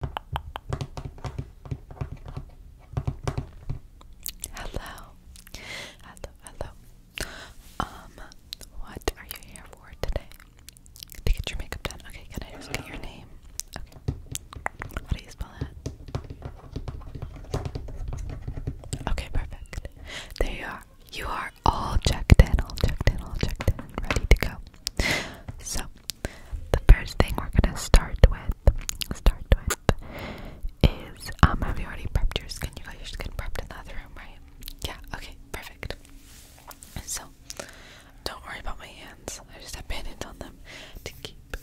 Hello, hello, hello. Um, what are you here for today? To get your makeup done. Okay, can I just get your name? Okay. How do you spell it? Okay, perfect. There you are. You are all checked in, all checked in, all checked in, ready to go. So the first thing we're gonna start with, start with, is um, have you already prepped your skin? You got your skin prepped in the other room, right? Yeah. Okay. Perfect. So, don't worry about my hands. I just have band on them to keep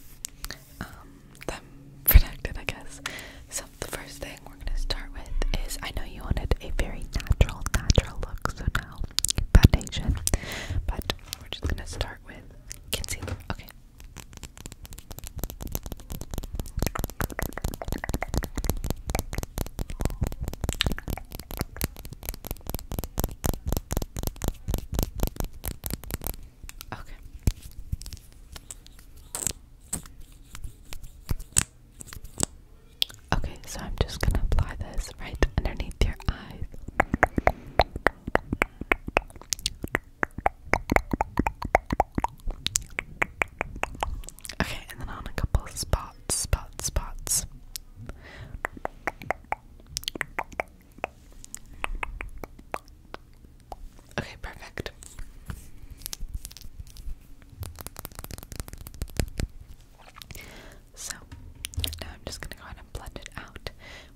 um, them protected, I guess. So, the first thing we're gonna start with is I know you wanted a very natural, natural look, so now foundation, but we're just gonna start with concealer. Okay. Okay. Okay, so I'm just gonna apply this right underneath your eyes. Okay, and then on a couple spots, spots, spots. Okay, perfect. So now I'm just gonna go ahead and blend it out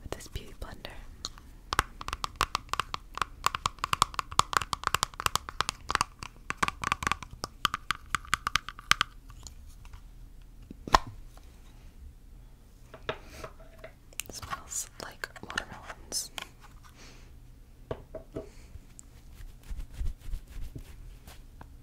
with this beauty blender. smells like watermelons.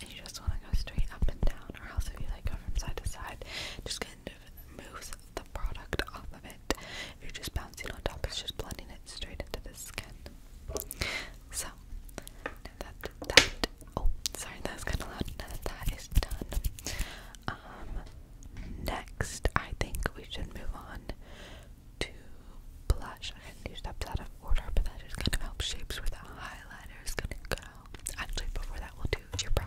and you just want to go straight up and down, or else if you like go from side to side, just kind of moves the product off of it. If you're just bouncing on top, it's just blending it straight into the skin. So that that oh sorry that was kind of loud. that is done, um, next I think we should move on to blush. I hadn't of order, but that just kind of shapes where the highlighter is gonna go. Actually, before that, we'll do your brows.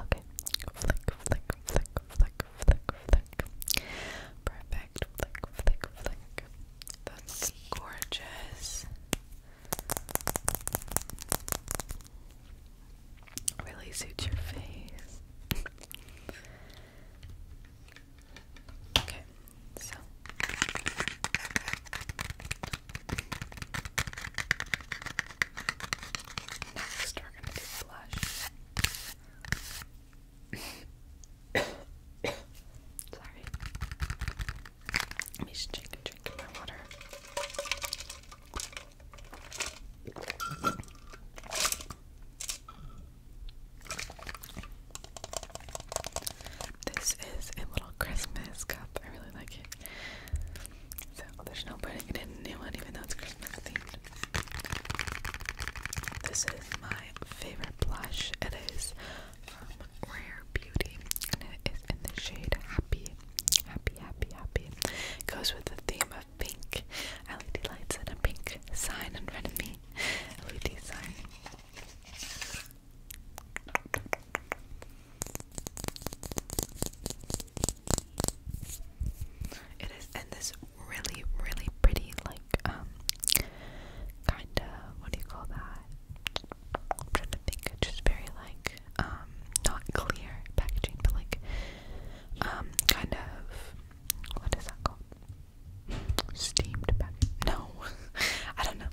Okay. Flick, flick, flick, flick, flick, flick. Perfect. Flick, flick, flick. That's gorgeous. Really suits your face. okay, so Next, we're gonna do blush. Sorry. Let me just drink a drink of my water. This is a little Christmas cup. I really like it. So there's no putting it in a new one, even though it's Christmas themed. This is my favorite blush. It is from Rare Beauty, and it is in the shade Happy. Happy, happy, happy. It goes with the theme of pink. LED lights and a pink sign in front of me. LED sign. It is in this really, really pretty, like, um, kinda, what do you call that? trying to think, just very, like, um, not clear packaging, but like, um, kind of, what is that called? Steamed packaging? No, I don't know.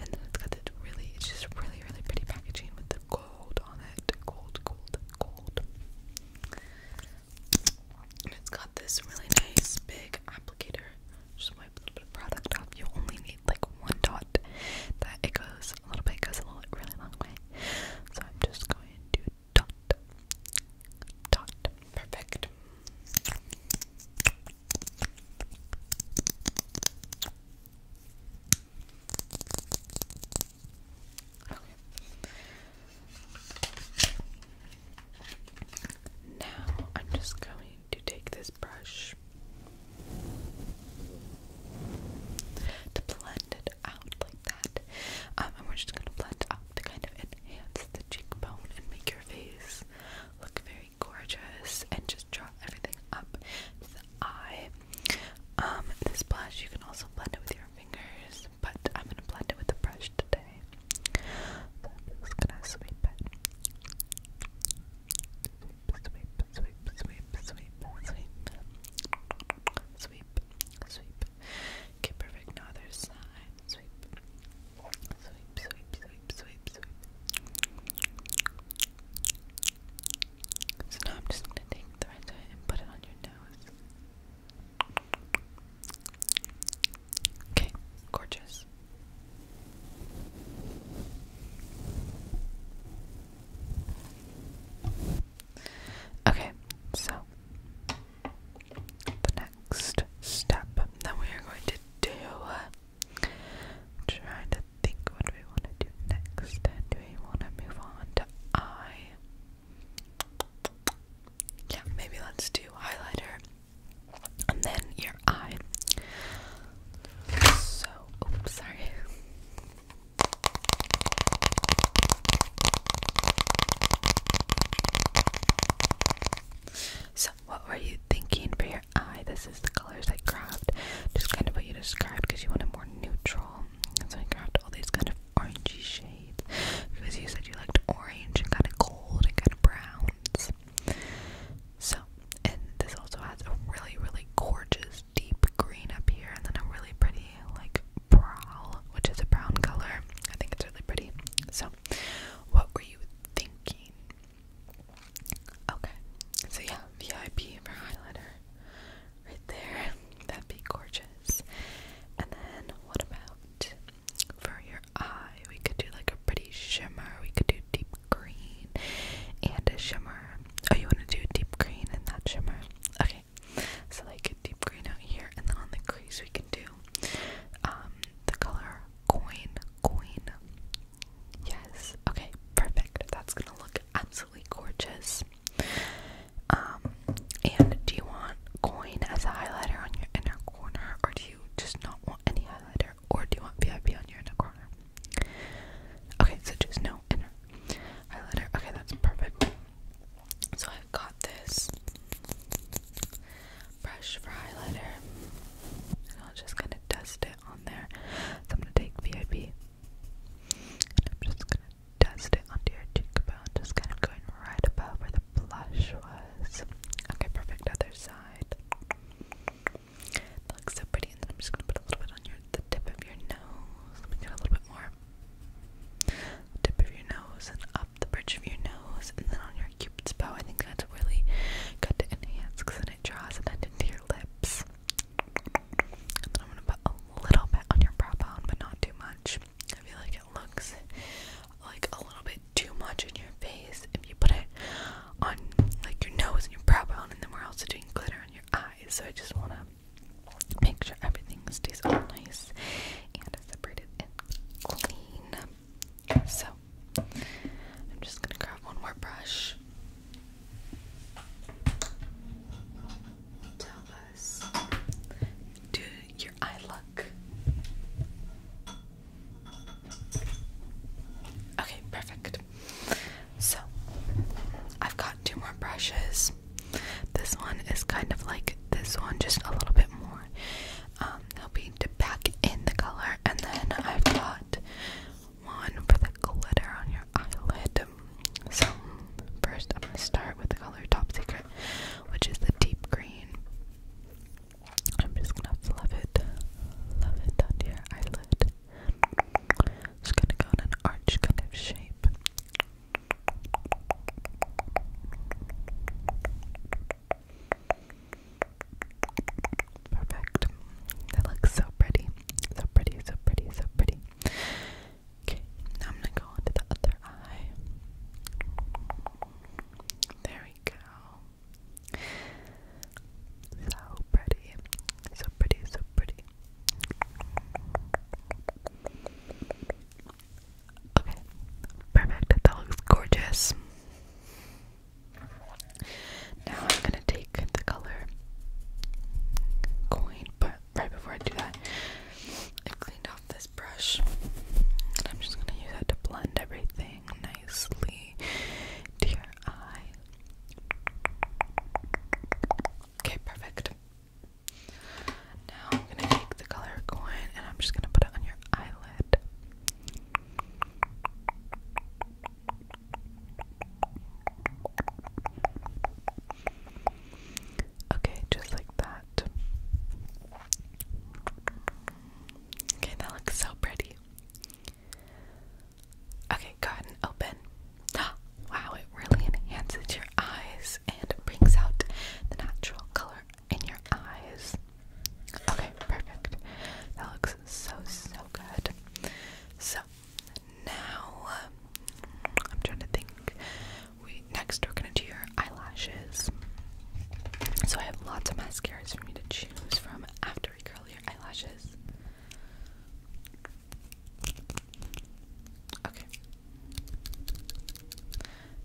And then it's got that really, it's just really, really pretty packaging with the gold on it. Gold, gold, gold. And it's got this really nice big applicator. Just wipe a little bit of product off. You only need like one dot. That it goes a little bit, goes a little really long way. So I'm just going to dot, dot. Perfect. Now I'm just going to take this brush to blend it out like that. Um, and we're just going to blend out to kind of enhance the cheekbone and make your face look very gorgeous and just draw everything up to the eye. Um, this blush, you can also blend it with your fingers, but I'm gonna blend it with a brush today. So I'm just gonna sweep it. Sweep, sweep, sweep, sweep, sweep, sweep, sweep, sweep. Okay, perfect. Now other side. Sweep, so now I'm just gonna take the red dye and put it on your nose. Okay, gorgeous. Okay, so the next step that we are going to do trying to think what we want to do next. do we want to move on to eye? Yeah, maybe let's do highlighter and then your eye. So, oops, sorry. So, what were you thinking for your This is the colors I grabbed, just kind of what you described because you wanted more neutral. And so I grabbed all these kind of orangey shades because you said you liked orange and kind of gold and kind of browns. So, and this also has a really, really gorgeous deep green up here, and then a really pretty, like, brow, which is a brown color. I think it's really pretty. So, what were you thinking? Okay, so yeah, VIP for highlighter right there. That'd be gorgeous. And then what about for your eye? We could do like a pretty shimmer, we could do deep green and a shimmer. Oh, you want to do deep green and that shimmer? Okay, so like a deep green out here, and then on the crease, we can do um the color coin, coin, Yes. Okay, perfect. That's gonna look absolutely gorgeous. Um, and do you want coin as a highlighter on your inner corner, or do you just not want any highlighter, or do you want VIP on your inner corner? Okay, so just no inner highlighter. Okay, that's perfect. So I've got this brush for highlighter, and I'll just kind of dust it on there. So I'm gonna take VIP, I'm just gonna dust it onto your cheekbone, just kind of going right above where the blush was. Okay, perfect. Other side. That looks so pretty, and then I'm just gonna put a little bit on your the tip of your nose. Let me get a little bit more. Tip of your nose and up the bridge of your nose, and then on your cupid's bow. I think that's really Good to enhance because it draws an end into your lips. I'm gonna put a little bit on your brow bone, but not too much. I feel like it looks like a little bit too much in your face if you put it on like your nose and your brow bone, and then we're also doing glitter on your eyes. So I just wanna make sure everything stays all nice and separated and clean. So, I'm just gonna grab one more brush. do your eye look. Okay, perfect. So, I've got two more brushes. This one is kind of like this one, just a little bit more um, helping to pack in the color. And then I've got one for the glitter on your eyelid. So, first I'm going to start with the color Top Secret, which is the deep green. I'm just going to fluff it, love it onto your eyelid. Just going to go in an arch kind of shape. Perfect. That looks so pretty. So pretty, so pretty, so pretty. Okay, now I'm gonna go on to the other eye. There we go. So pretty. So pretty, so pretty. Okay, perfect. That looks gorgeous. Now I'm gonna take the color coin, but right before I do that, I cleaned off this brush, and I'm just gonna use that to blend everything nicely to your eye. Okay, perfect. Now I'm gonna take the color coin and I'm just gonna put it on your eyelid. Okay, just like that. Okay, that looks so pretty. Okay, go ahead and open. Wow, it really enhances your eyes and brings out the natural color in your eyes. Okay, perfect. That looks so, so good. So, now, um, I'm trying to think. We Next, we're gonna do your eyelashes. So, I have lots of mascaras for me to choose from after we curl your eyelashes. Okay.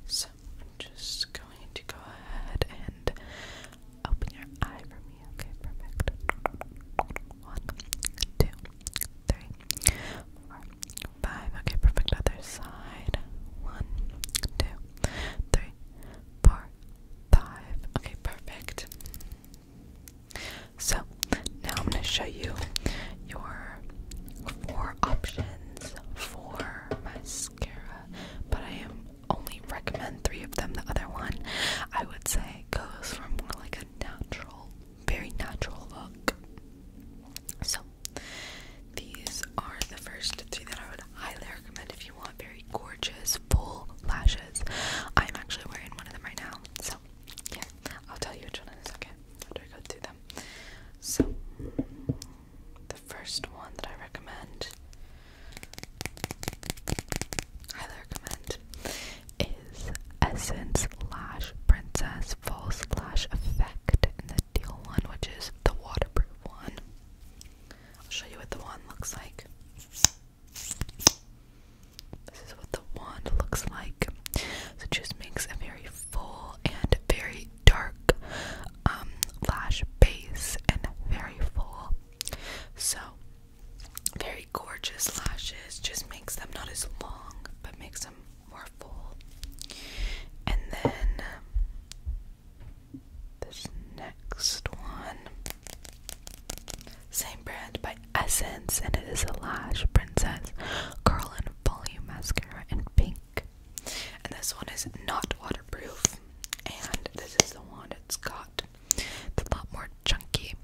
So, I'm just going to go ahead and open your eye for me. Okay, perfect. One, two, three, four, five. Okay, perfect. Other side. One, two, three, four, five. Okay, perfect. So now I'm going to show you your four options for mascara, but I am only recommend three of them. The other one, I would say, goes for more like a natural, very natural look. So, these are the first three that I would highly recommend if you want very gorgeous, full lashes. I'm actually wearing one of them right now, so yeah, I'll tell you which one in a second after I go through them. So, the first one that I recommend, highly recommend, is Essence Lash Princess False Lash Effect in the teal one, which is the waterproof one. I'll show you what the wand looks like. This is what the wand looks like. So it just makes a very full and very dark um, lash base and very full. So, very gorgeous lashes just makes them not as long but makes them more full. And then this next one, same brand by Essence, and it is a Lash Princess Curl and Volume Mascara in Pink. And this one is not waterproof. And this is the one it's got. It's a lot more chunky.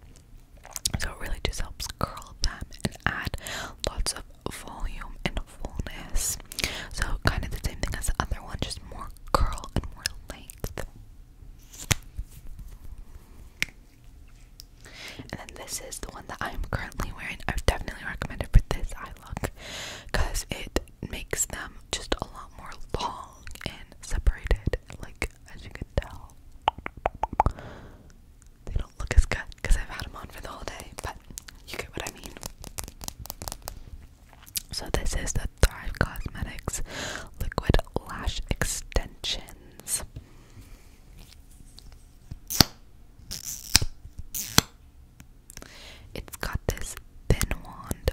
So it really just helps curl them and add lots of volume and fullness. So kind of the same thing as the other one, just more curl and more length. And then this is the one that I'm currently wearing. I have definitely recommended it for this eye look because it makes them just a lot more long and separated. Like as you can tell, they don't look as good because I've had them on for the whole day. But you get what I mean. So this is the Thrive Cosmetics Liquid Lash Extensions. It's got this thin wand,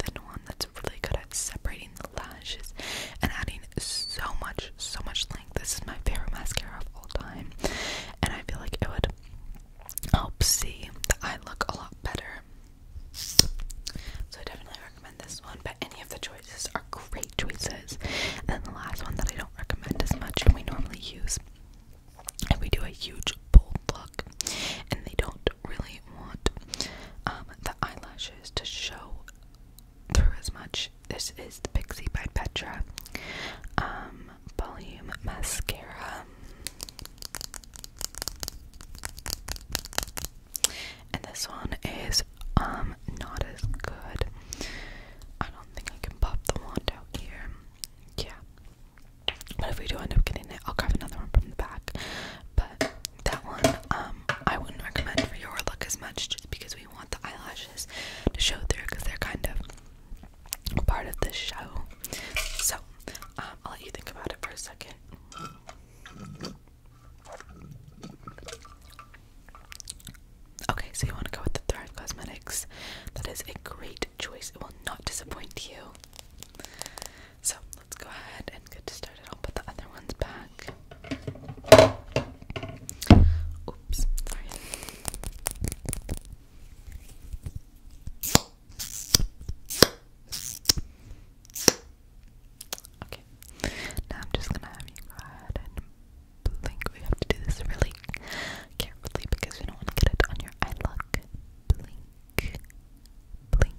thin wand that's really good at separating the lashes and adding so much, so much length. This is my favorite mascara of all time, and I feel like it would help see the eye look a lot better. So I definitely recommend this one, but any of the choices are great choices. And then the last one that I don't recommend as much we normally use and we do a huge bold look, and they don't really want um, the eyelashes to show through as much. This is the Pixie by Petra um, Volume Mascara. And this one is um not as good. I don't think I can pop the wand out here. Yeah. But if we do end up getting it, I'll grab another one from the back. But that one, um, I wouldn't recommend for your look as much just because we want the eyelashes to show through because they're kind of part of the show. So, um, I'll let you think about it for a second. Okay, so you want to go with the Thrive Cosmetics. That is a great choice. It will not disappoint you. So let's go ahead and get started. I'll put the other ones back. Oops, Okay, now I'm just gonna have you go ahead and blink. We have to do this really carefully because you don't want to get it on your eye. blink, blink,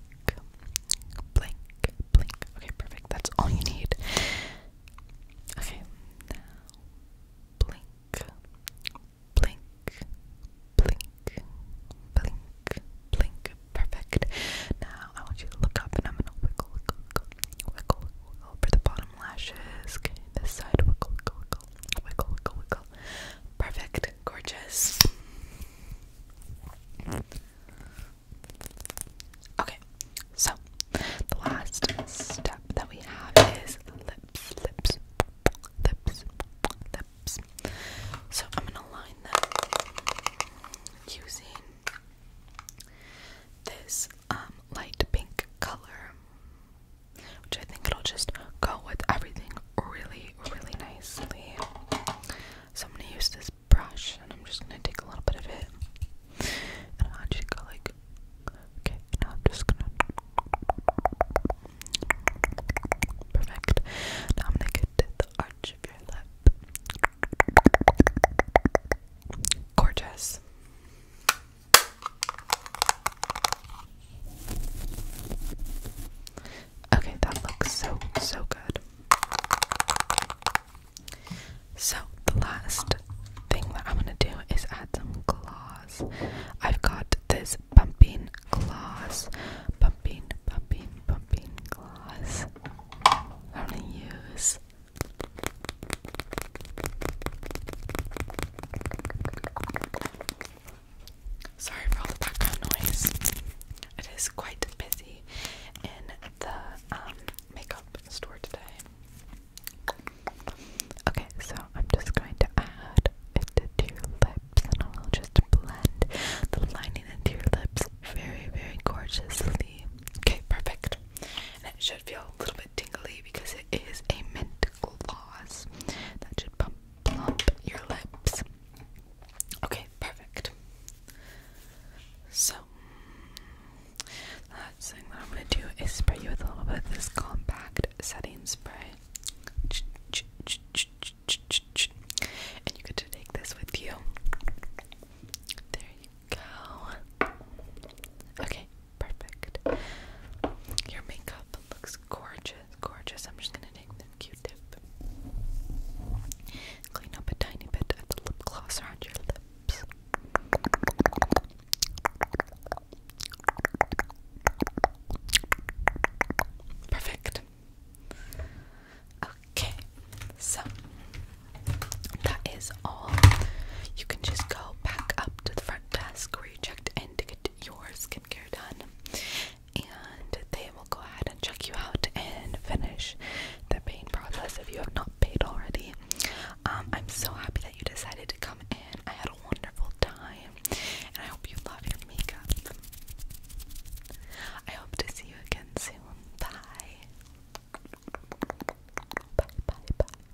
blink, blink. Okay, perfect. That's all you need. Okay, now blink, blink, blink, blink, blink. Perfect. Now I want you to look up, and I'm gonna wiggle, wiggle, wiggle, wiggle for the bottom lashes. Okay, this side, wiggle, wiggle, wiggle wiggle, wiggle, wiggle, Perfect, gorgeous. Okay, so the last step that we have is lips, lips, lips, lips. So I'm gonna line them using this um, light pink color which I think it'll just go with everything really, really nicely. So I'm gonna use this brush and I'm just gonna take a little bit of it and I'll just like, okay, now I'm just gonna. Perfect. Now I'm gonna get to the arch of your lip. Gorgeous. Okay, that looks so, so good. So, the last thing that I'm gonna do is add some gloss. I've got this pumping gloss, pumping, pumping, pumping gloss. I'm gonna use Sorry for all the background noise. It is quite busy in the um, makeup store today. Okay, so I'm just going to add it to your lips and I'll just blend the lining into your lips very, very gorgeously. Okay, perfect. And it should feel a little bit tingly because it is a mint gloss that should pump plump your lips. Okay, perfect. So last thing that I'm gonna do is spray you with a little bit of this compact setting spray. And you get to take this with you. There you go. Okay, Perfect. Your makeup looks gorgeous, gorgeous. I'm just gonna take the Q-tip, clean up a tiny bit of the lip gloss around your lips. Perfect. Okay, so that is all. You can just go back up to the front desk already checked in to get your skincare done. And they will go ahead and check you out and finish the pain process if you have not paid already. Um, I'm so happy that you decided to come in. I had a wonderful time, and I hope you love your makeup. I hope to see you again soon. Bye. Bye, bye, bye.